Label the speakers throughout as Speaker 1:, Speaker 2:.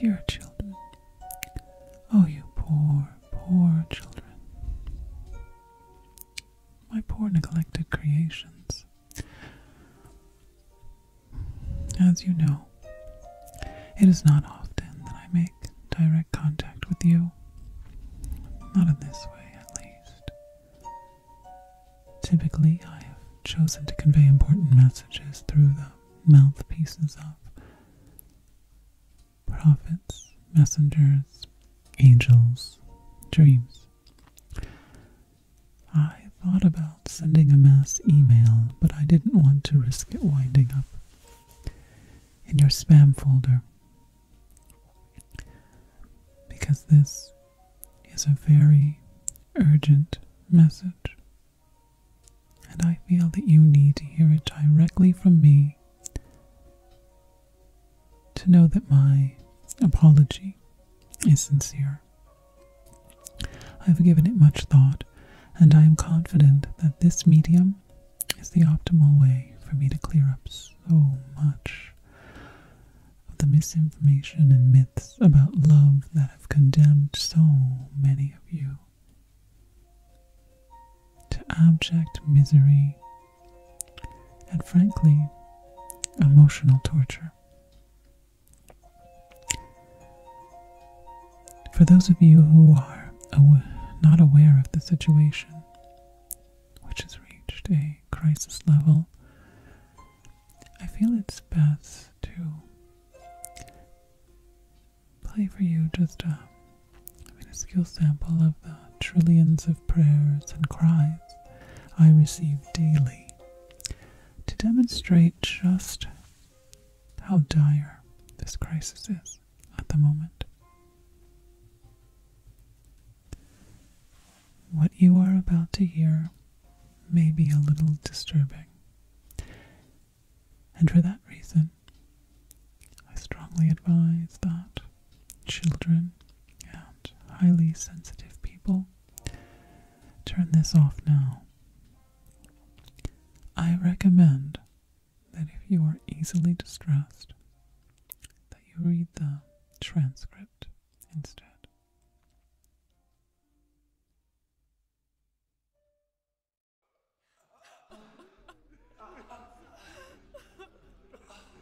Speaker 1: Dear children, oh, you poor, poor children, my poor neglected creations, as you know, it is not often that I make direct contact with you. Not in this way, at least. Typically, I have chosen to convey important messages through the mouthpieces of prophets, messengers, angels, dreams. I thought about sending a mass email, but I didn't want to risk it winding up in your spam folder because this is a very urgent message, and I feel that you need to hear it directly from me to know that my apology is sincere I've given it much thought, and I am confident that this medium is the optimal way for me to clear up so much of the misinformation and myths about love that have condemned so many of you to abject misery and, frankly, emotional torture. For those of you who are not aware of the situation, which has reached a crisis level, I feel it's best to play for you just a minuscule sample of the trillions of prayers and cries I receive daily to demonstrate just how dire this crisis is at the moment. What you are about to hear may be a little disturbing, and for that reason, I strongly advise that children and highly sensitive people Turn this off now. I recommend that if you are easily distressed, that you read the transcript instead.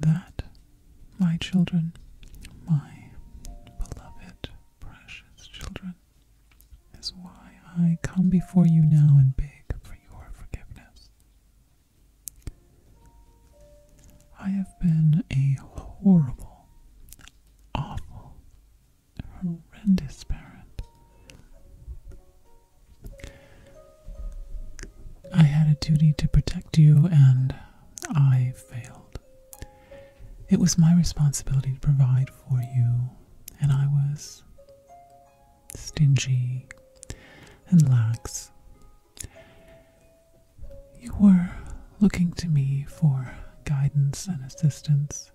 Speaker 1: That, my children, my beloved, precious children, is why I come before you now and beg for your forgiveness. I have been a horrible, awful, horrendous parent. I had a duty to protect you, and I failed. It was my responsibility to provide for you, and I was stingy and lax. You were looking to me for guidance and assistance.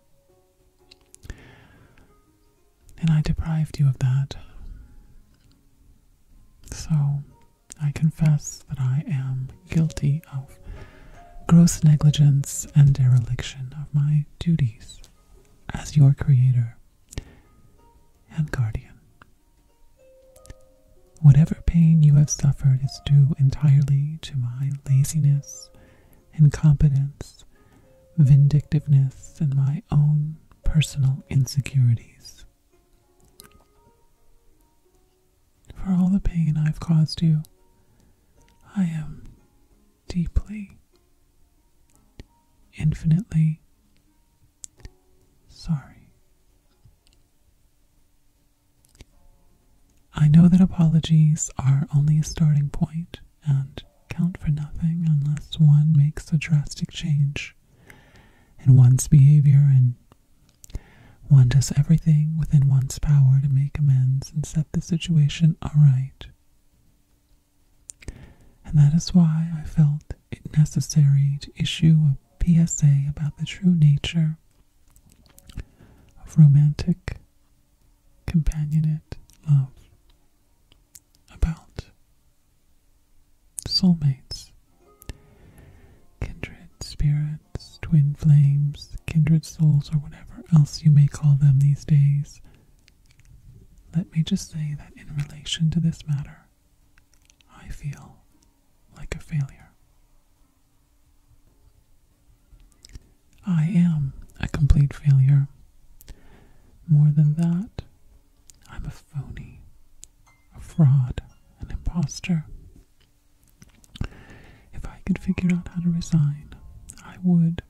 Speaker 1: And I deprived you of that. So I confess that I am guilty of gross negligence and dereliction of my duties as your creator and guardian. Whatever pain you have suffered is due entirely to my laziness incompetence, vindictiveness, and my own personal insecurities. For all the pain I've caused you, I am deeply, infinitely sorry. I know that apologies are only a starting point, and count for nothing unless one makes a drastic change in one's behavior and one does everything within one's power to make amends and set the situation aright. And that is why I felt it necessary to issue a PSA about the true nature of romantic companionate love about soulmates, kindred spirits, twin flames, kindred souls, or whatever else you may call them these days. Let me just say that in relation to this matter, I feel like a failure. I am a complete failure. More than that, I'm a phony, a fraud, an impostor. If I could figure out how to resign, I would,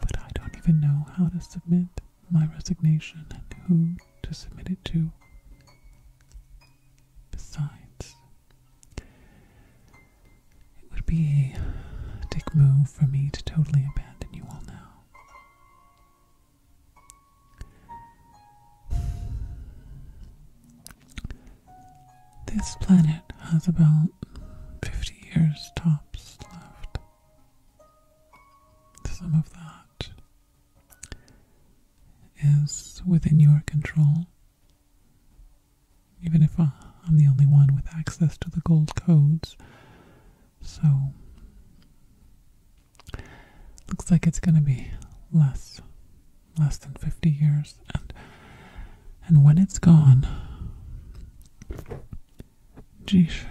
Speaker 1: but I don't even know how to submit my resignation and who to submit it to. Besides, it would be a dick move for me to totally abandon you all now. This planet has about 50 years tops left. Some of that is within your control even if I'm the only one with access to the gold codes. So, looks like it's going to be less less than 50 years and and when it's gone geesh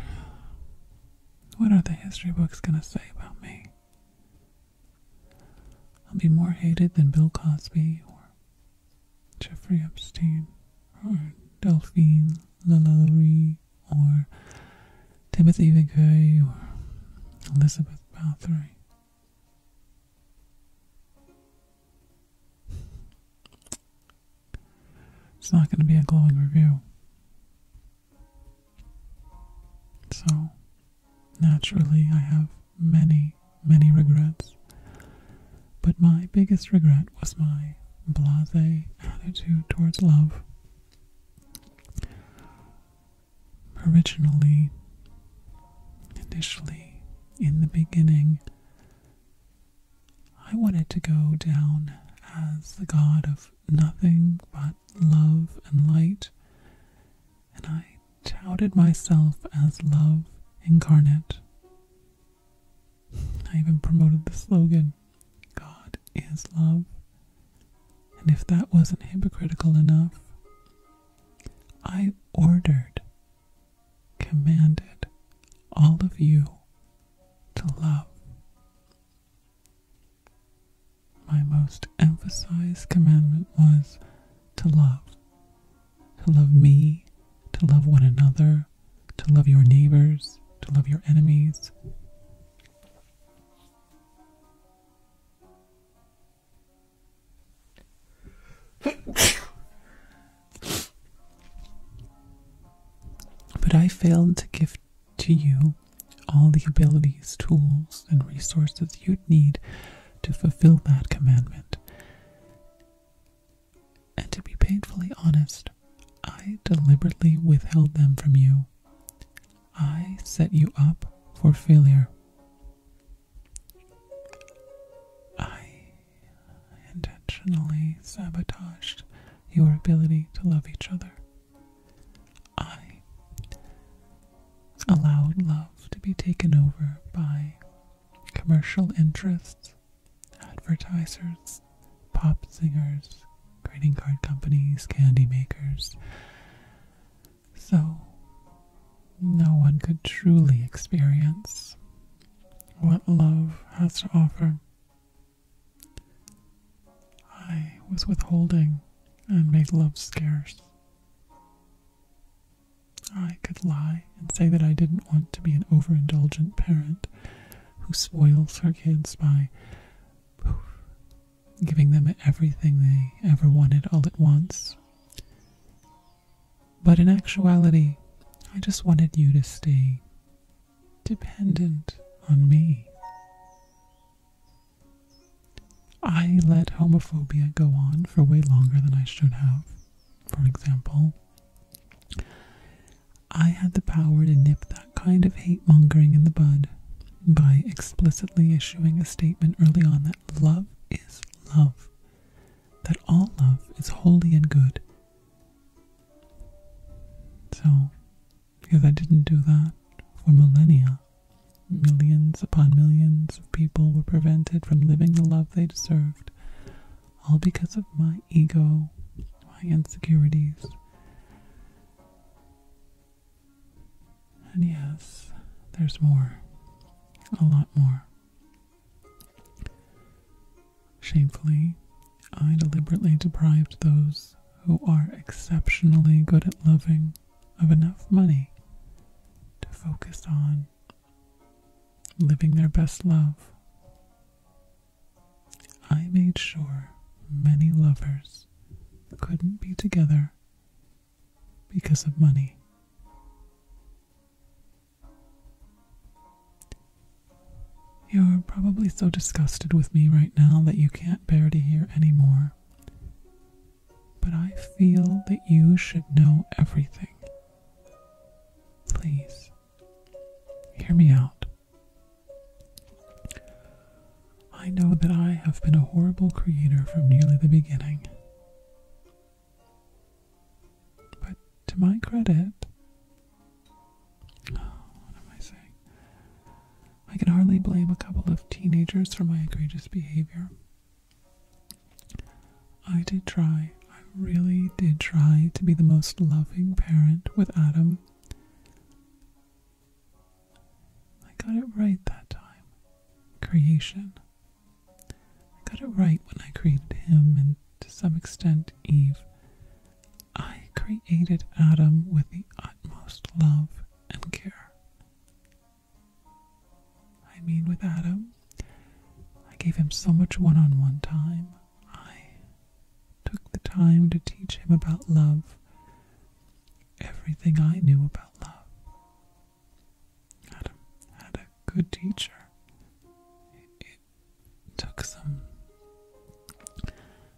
Speaker 1: what are the history books going to say about me i'll be more hated than bill cosby or Jeffrey Epstein, or Delphine LaLaurie, or Timothy McVeigh, or Elizabeth Bathory. It's not going to be a glowing review. So, naturally, I have many many regrets, but my biggest regret was my blase attitude towards love. Originally, initially, in the beginning, I wanted to go down as the god of nothing but love and light, and I touted myself as love incarnate. I even promoted the slogan God is love. And if that wasn't hypocritical enough, I ordered, commanded all of you to love. My most emphasized commandment was to love to love me, to love one another, to love your neighbors, to love your enemies. But I failed to give to you all the abilities, tools, and resources you'd need to fulfill that commandment. And to be painfully honest, I deliberately withheld them from you. I set you up for failure. I intentionally sabotaged your ability to love each other. I allowed love to be taken over by commercial interests, advertisers, pop singers, greeting card companies, candy makers. So, no one could truly experience what love has to offer. I was withholding and made love scarce. I could lie and say that I didn't want to be an overindulgent parent who spoils her kids by giving them everything they ever wanted all at once. But in actuality, I just wanted you to stay dependent on me. I let homophobia go on for way longer than I should have for example, I had the power to nip that kind of hate mongering in the bud by explicitly issuing a statement early on that love is love, that all love is holy and good. So, because I didn't do that for millennia, millions upon millions of people were prevented from living the love they deserved, all because of my ego, my insecurities. And yes, there's more. A lot more. Shamefully, I deliberately deprived those who are exceptionally good at loving of enough money to focus on living their best love. I made sure many lovers couldn't be together because of money. You're probably so disgusted with me right now that you can't bear to hear any more but I feel that you should know everything. Please, hear me out. I know that I have been a horrible creator from nearly the beginning. But to my credit, what am I saying? I can hardly blame a couple of teenagers for my egregious behavior. I did try, I really did try to be the most loving parent with Adam. I got it right that time. Creation. I got it right when I created him and to some extent Eve. I created Adam with the utmost love and care. I mean, with Adam, I gave him so much one on one time. I took the time to teach him about love, everything I knew about love. Adam had a good teacher. It, took some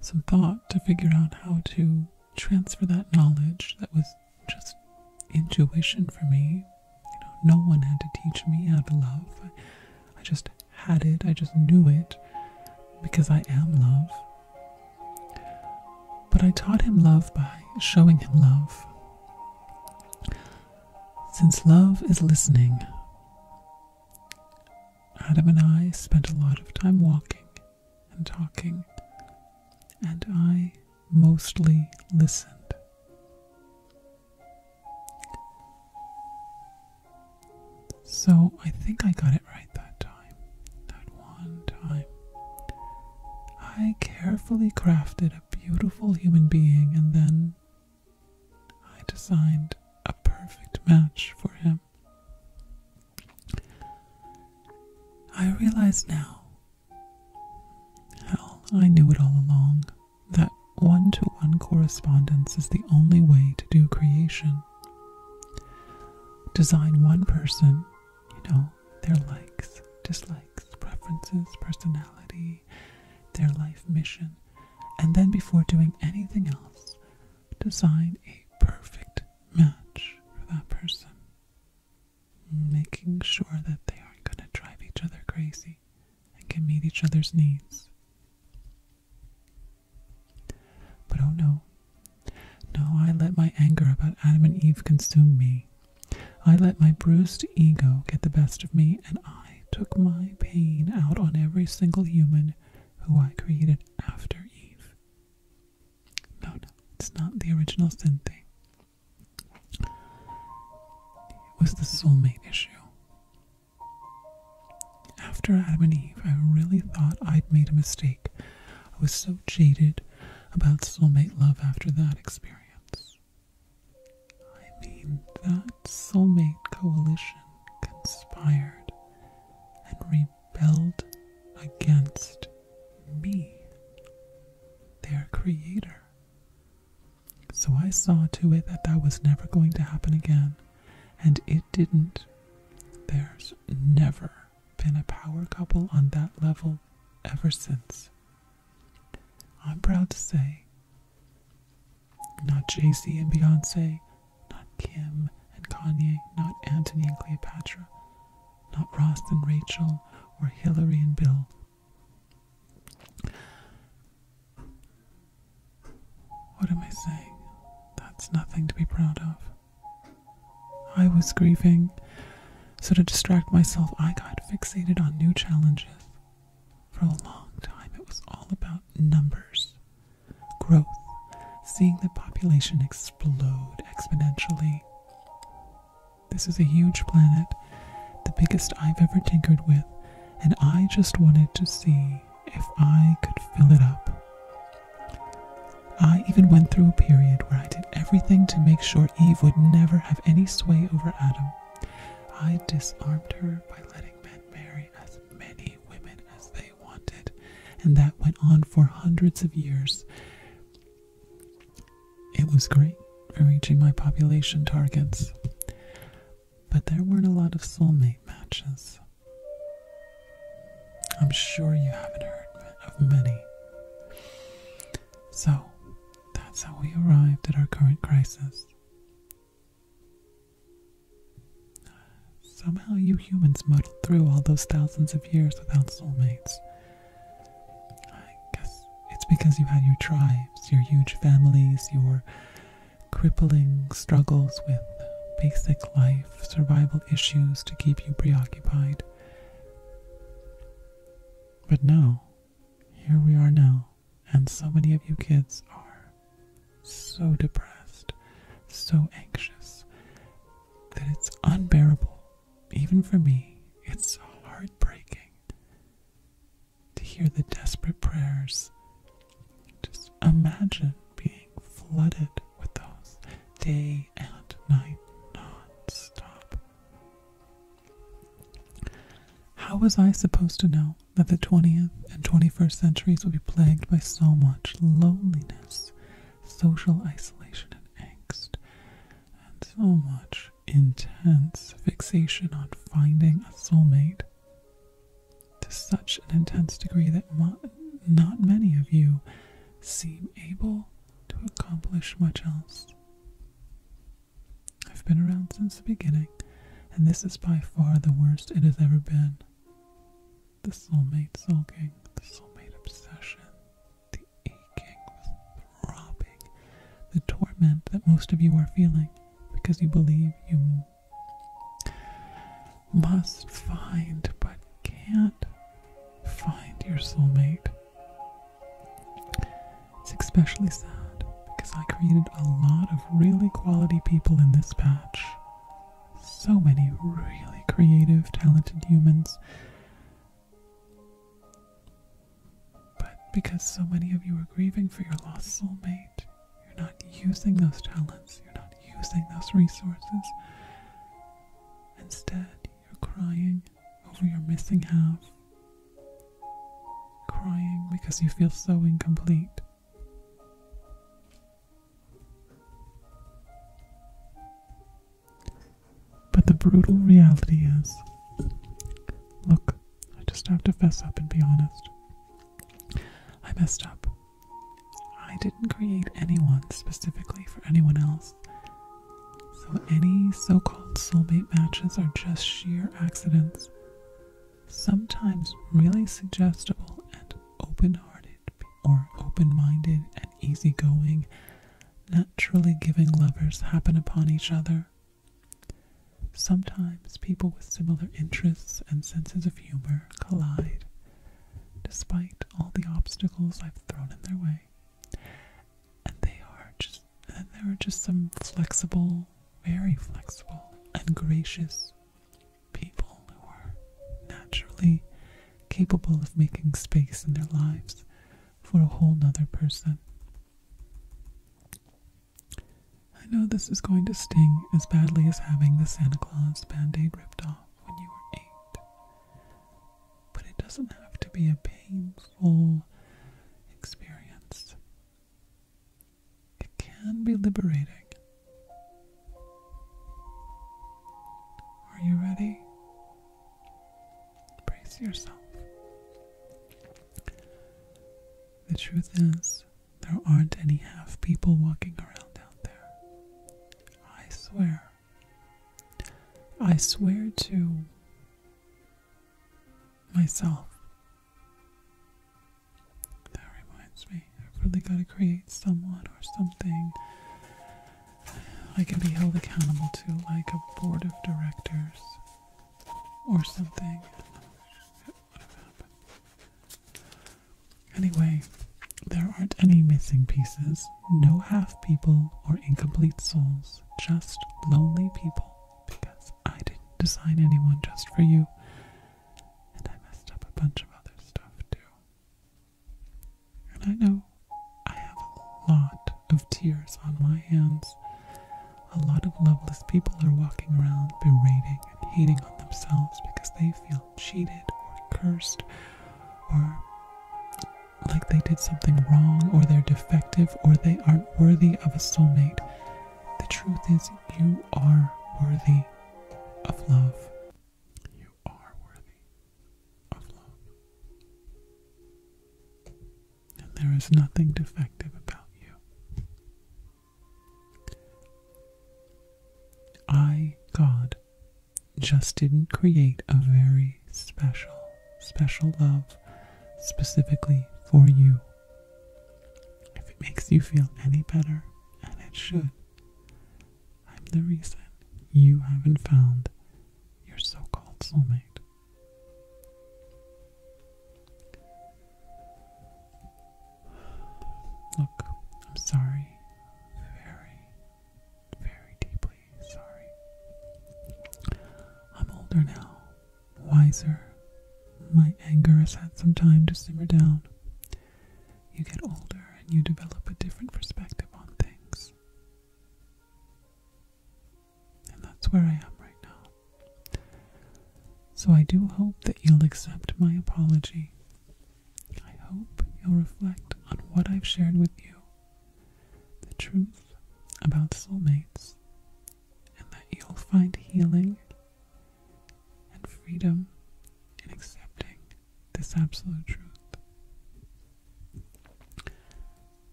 Speaker 1: some thought to figure out how to transfer that knowledge that was just intuition for me. You know, no one had to teach me how to love. I, just had it. I just knew it because I am love. But I taught him love by showing him love. Since love is listening, Adam and I spent a lot of time walking and talking, and I mostly listened. So I think I got it right that time. That one time. I carefully crafted a beautiful human being and then I designed a perfect match for him. I realize now Hell, I knew it all along that one to one correspondence is the only way to do creation. Design one person, you know, their likes, dislikes, preferences, personality, their life mission, and then before doing anything else, design a perfect match for that person making sure that they aren't going to drive each other crazy and can meet each other's needs. But oh no. No, I let my anger about Adam and Eve consume me. I let my bruised ego get the best of me, and I took my pain out on every single human who I created after Eve. No, no, it's not the original sin thing. It was the soulmate issue. After Adam and Eve, I really thought I'd made a mistake. I was so jaded about soulmate love after that experience. I mean, that soulmate coalition conspired and rebelled against me, their creator. So I saw to it that that was never going to happen again, and it didn't. There's never been a power couple on that level ever since. I'm proud to say, not Jay-Z and Beyonce, not Kim and Kanye, not Antony and Cleopatra, not Ross and Rachel or Hillary and Bill. What am I saying? That's nothing to be proud of. I was grieving, so to distract myself, I got fixated on new challenges. For a long time, it was all about numbers, growth, seeing the population explode exponentially, this is a huge planet, the biggest I've ever tinkered with, and I just wanted to see if I could fill it up. I even went through a period where I did everything to make sure Eve would never have any sway over Adam. I disarmed her by letting men marry as many women as they wanted, and that went on for hundreds of years. It was great for reaching my population targets, but there weren't a lot of soulmate matches. I'm sure you haven't heard of many. So, that's how we arrived at our current crisis. Somehow you humans muddled through all those thousands of years without soulmates. I guess it's because you had your tribes, your huge families, your crippling struggles with basic life survival issues to keep you preoccupied. But now, here we are now, and so many of you kids are so depressed, so anxious, that it's unbearable, even for me. It's so heartbreaking to hear the desperate prayers. Just imagine being flooded with those day and night non-stop. How was I supposed to know that the 20th and 21st centuries would be plagued by so much loneliness, social isolation, angst, and so much intense fixation on finding a soulmate to such an intense degree that not many of you seem able to accomplish much else. I've been around since the beginning, and this is by far the worst it has ever been. The soulmate sulking, the soulmate obsession, the aching, the throbbing, the torment that most of you are feeling because you believe you must find but can't find your soulmate. It's especially sad because I created a lot of really quality people in this patch so many really creative, talented humans. But because so many of you are grieving for your lost soulmate, you're not using those talents, you're not using those resources. Instead, you're crying over your missing half, crying because you feel so incomplete. But the brutal reality is look, I just have to fess up and be honest. I messed up. I didn't create anyone specifically for anyone else. So any so called soulmate matches are just sheer accidents, sometimes really suggestible and open hearted or open minded and easygoing, naturally giving lovers happen upon each other. Sometimes people with similar interests and senses of humor collide, despite all the obstacles I've thrown in their way. And they are just and there are just some flexible, very flexible and gracious people who are naturally capable of making space in their lives for a whole nother person. I know this is going to sting as badly as having the Santa Claus band aid ripped off when you were eight, but it doesn't have to be a painful experience. It can be liberating are you ready? Brace yourself. The truth is, there aren't any half people walking around out there. I swear. I swear to myself. That reminds me. I've really got to create someone or something I can be held accountable to, like a board of directors or something. Anyway, there aren't any missing pieces, no half people or incomplete souls, just lonely people because I didn't design anyone just for you. And I messed up a bunch of other stuff too. And I know I have a lot of tears on my hands. A lot of loveless people are walking around berating and hating on themselves because they feel cheated or cursed or like they did something wrong or they're defective or they aren't worthy of a soulmate. The truth is, you are worthy of love. You are worthy of love. And there is nothing defective about you. I, God, just didn't create a very special, special love specifically for you. If it makes you feel any better, and it should, I'm the reason you haven't found your so called soulmate. Look, I'm sorry. Very, very deeply sorry. I'm older now, wiser. My anger has had some time to simmer down you get older and you develop a different perspective on things. And that's where I am right now. So I do hope that you'll accept my apology. I hope you'll reflect on what I've shared with you, the truth about soulmates, and that you'll find healing and freedom in accepting this absolute truth.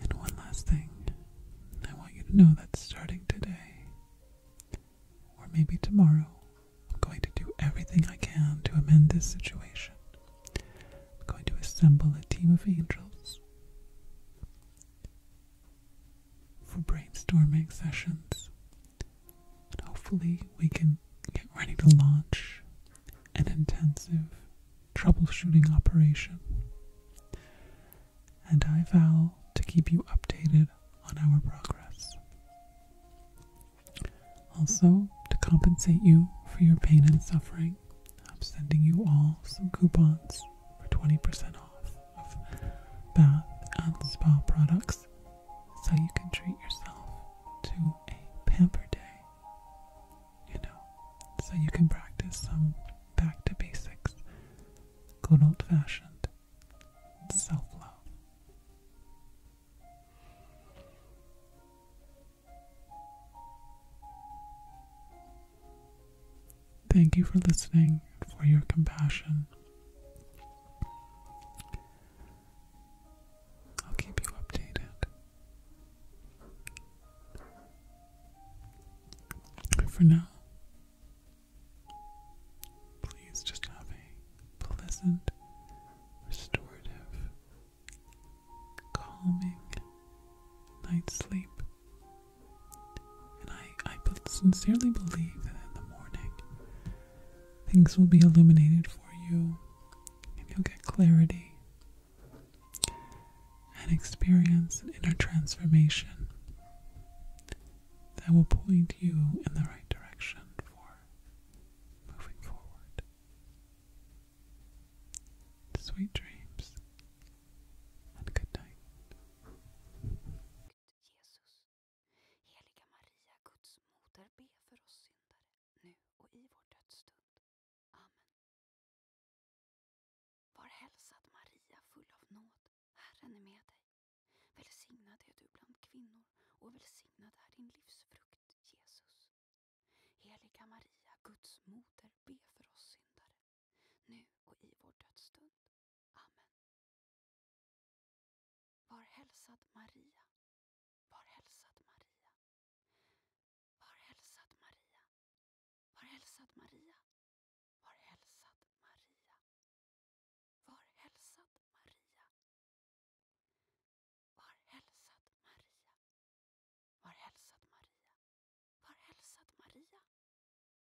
Speaker 1: And one last thing, I want you to know that starting today, or maybe tomorrow, I'm going to do everything I can to amend this situation. I'm going to assemble a team of angels for brainstorming sessions. And hopefully, we can get ready to launch an intensive troubleshooting operation. And I vow to keep you updated on our progress. Also, to compensate you for your pain and suffering, I'm sending you all some coupons for 20% off of bath and spa products so you can treat yourself to a pamper day. You know, so you can practice some back to basics, good old fashioned self love. Thank you for listening for your compassion. I'll keep you updated. For now, please just have a pleasant, restorative, calming night's sleep. And I, sincerely believe that in the morning things will be illuminated for you and you'll get clarity and experience an inner transformation that will point you in the right direction for moving forward. Sweet dreams and good night. Gud, Jesus. Heliga Maria, Guds moder, be för oss syndare, nu och i vår dödsstund. Amen. Var hälsad Maria, full av nåd. Herren är med dig. Välsignad är du bland kvinnor och välsignad är din livsfrukt, Jesus. Heliga Maria, Guds moder, be för oss syndare nu och i vår dödsstund. Amen. Var hälsad Maria. Var hälsad Maria. Var hälsad Maria. Var hälsad Maria. Var hälsad Maria. Var hälsad Maria. Var hälsad Maria. Var hälsad Maria. Var hälsad Maria.